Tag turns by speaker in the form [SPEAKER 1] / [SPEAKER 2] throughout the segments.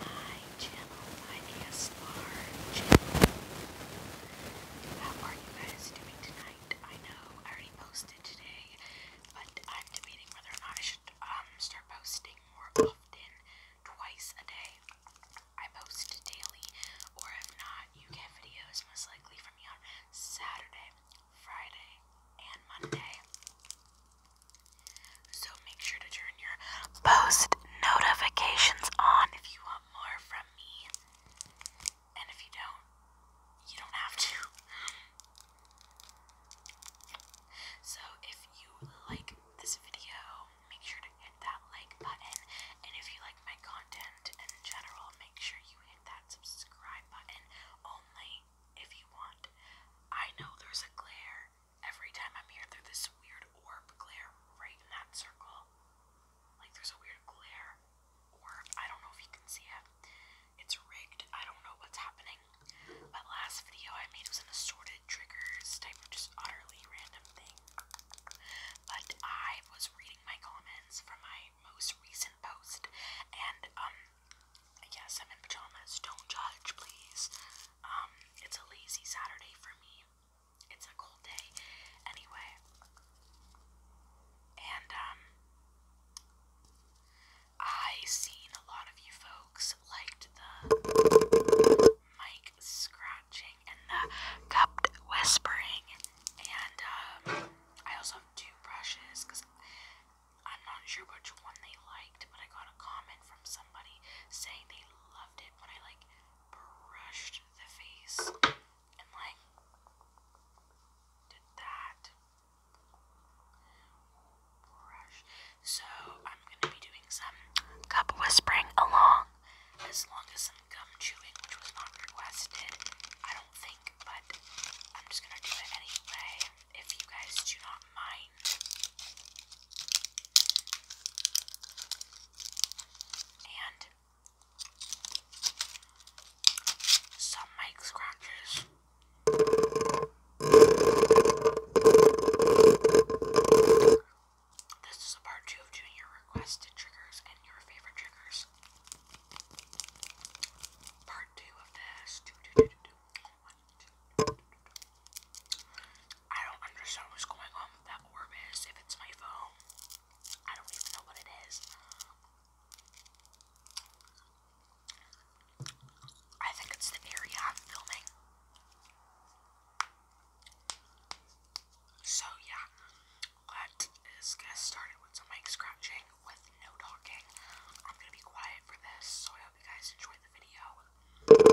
[SPEAKER 1] my channel, my ASMR channel. How are you guys doing tonight? I know I already today, but I'm debating whether or not I should um start posting more often, twice a day. I post daily, or if not, you get videos most likely from me on Saturday, Friday, and Monday. So make sure to turn your post notifications on if you want more from me. And if you don't, you don't have to. So if you like this video, make sure to hit that like button. And if you like my content in general, make sure you hit that subscribe button only if you want. I know there's a glare every time I'm here there's this weird orb glare right in that circle. Like there's a weird glare orb. I don't know if you can see it. It's rigged. I don't know what's happening. But last video I made was an assorted triggers type of just utterly random thing. But I was reading my comments from my most recent post and um Yes, I'm in pajamas. Don't judge, please. Um, it's a lazy Saturday for me. It's a cold day. Anyway. And um I seen a lot of you folks liked the mic scratching and the cupped whispering. And um I also have two brushes because I'm not sure which one they liked, but I got a comment from somebody saying they loved it when I like brushed the face and like did that. So I'm gonna be doing some cup whispering along as long as some gum chewing, which was not requested, I don't think, but I'm just gonna do it anyway. If you guys do not mind. And some mic scratches. This is a part two of Junior requested triggers and your favorite triggers. Part two of this. I don't understand what's going on with that orb is, if it's my phone. I don't even know what it is. I think it's the area I'm filming. So yeah, let us get started with some mic scratching with no talking. I'm gonna be quiet for this, so I hope you guys enjoy enjoy the video.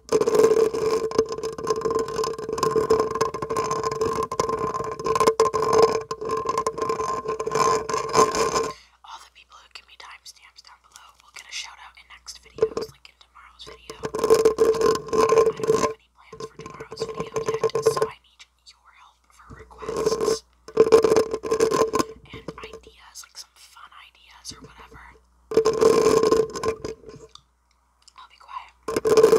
[SPEAKER 1] All the people who give me timestamps down below will get a shout out in next videos, like in tomorrow's video. I don't have any plans for tomorrow's video yet, so I need your help for requests and ideas, like some fun ideas or whatever. I'll be quiet.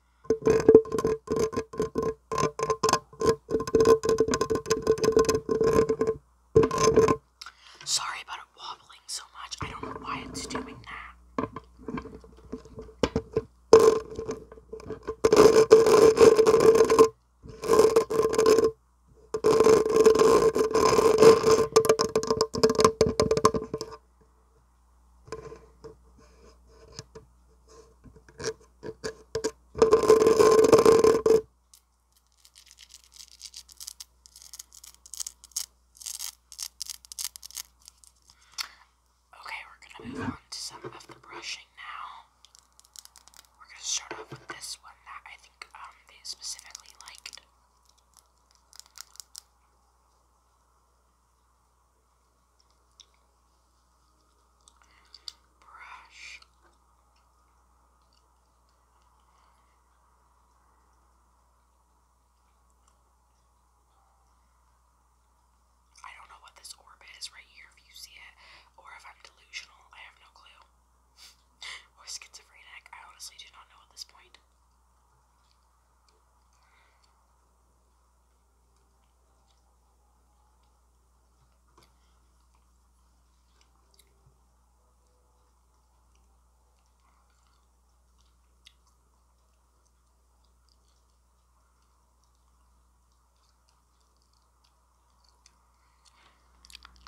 [SPEAKER 1] Sorry about it wobbling so much. I don't know why it's doing that. Okay, we're gonna move on to some of the brushing now. We're gonna start off with this one that I think um they specifically liked brush. I don't know what this orbit is right here if you see it, or if I'm delusional, I have no clue. or schizophrenic, I honestly do not know at this point.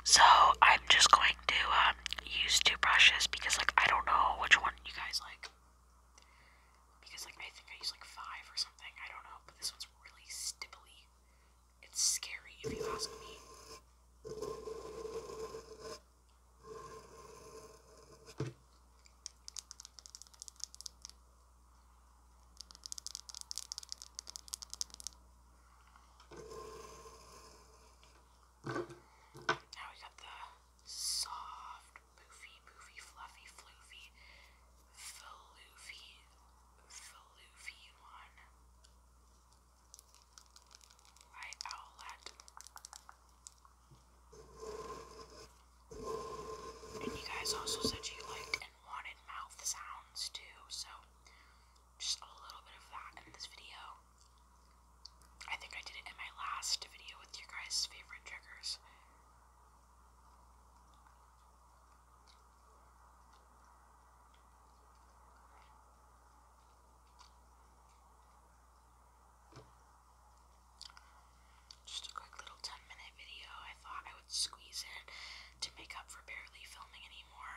[SPEAKER 1] So I'm just going to um, use two brushes because like I don't know which one you guys like. Because, like, I think I used like five or something. I don't know. But this one's really stipply. It's scary if you ask me. Now we got the soft, poofy, poofy, fluffy, floofy, veloofy, veloofy one. Light outlet. And you guys also said you liked and wanted mouth sounds too, so just a little bit of that in this video. I think I did it in my last video with your guys' favorite triggers. Just a quick little 10 minute video. I thought I would squeeze in to make up for barely filming anymore.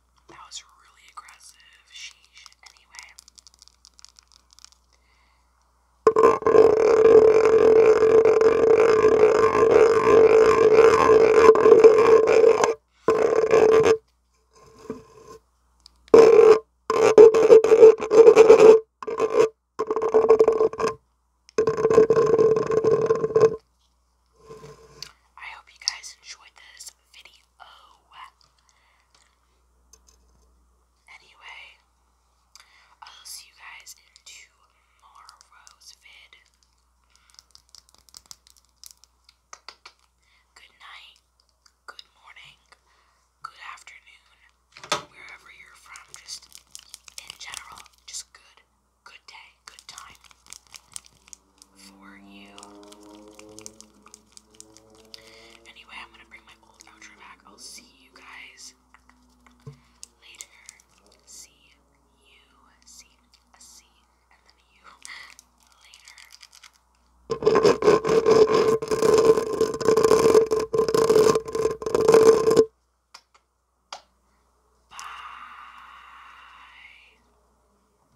[SPEAKER 1] That was really aggressive. Sheesh. Anyway. I hope you guys enjoyed this video oh. Anyway, I'll see you guys in tomorrow's vid. Good night, good morning, good afternoon, wherever you're from, just in general, just good, good day, good time for you. Anyway, I'm gonna bring my old outro back. I'll see you guys later. See you, see, a see, and then you later. Bye.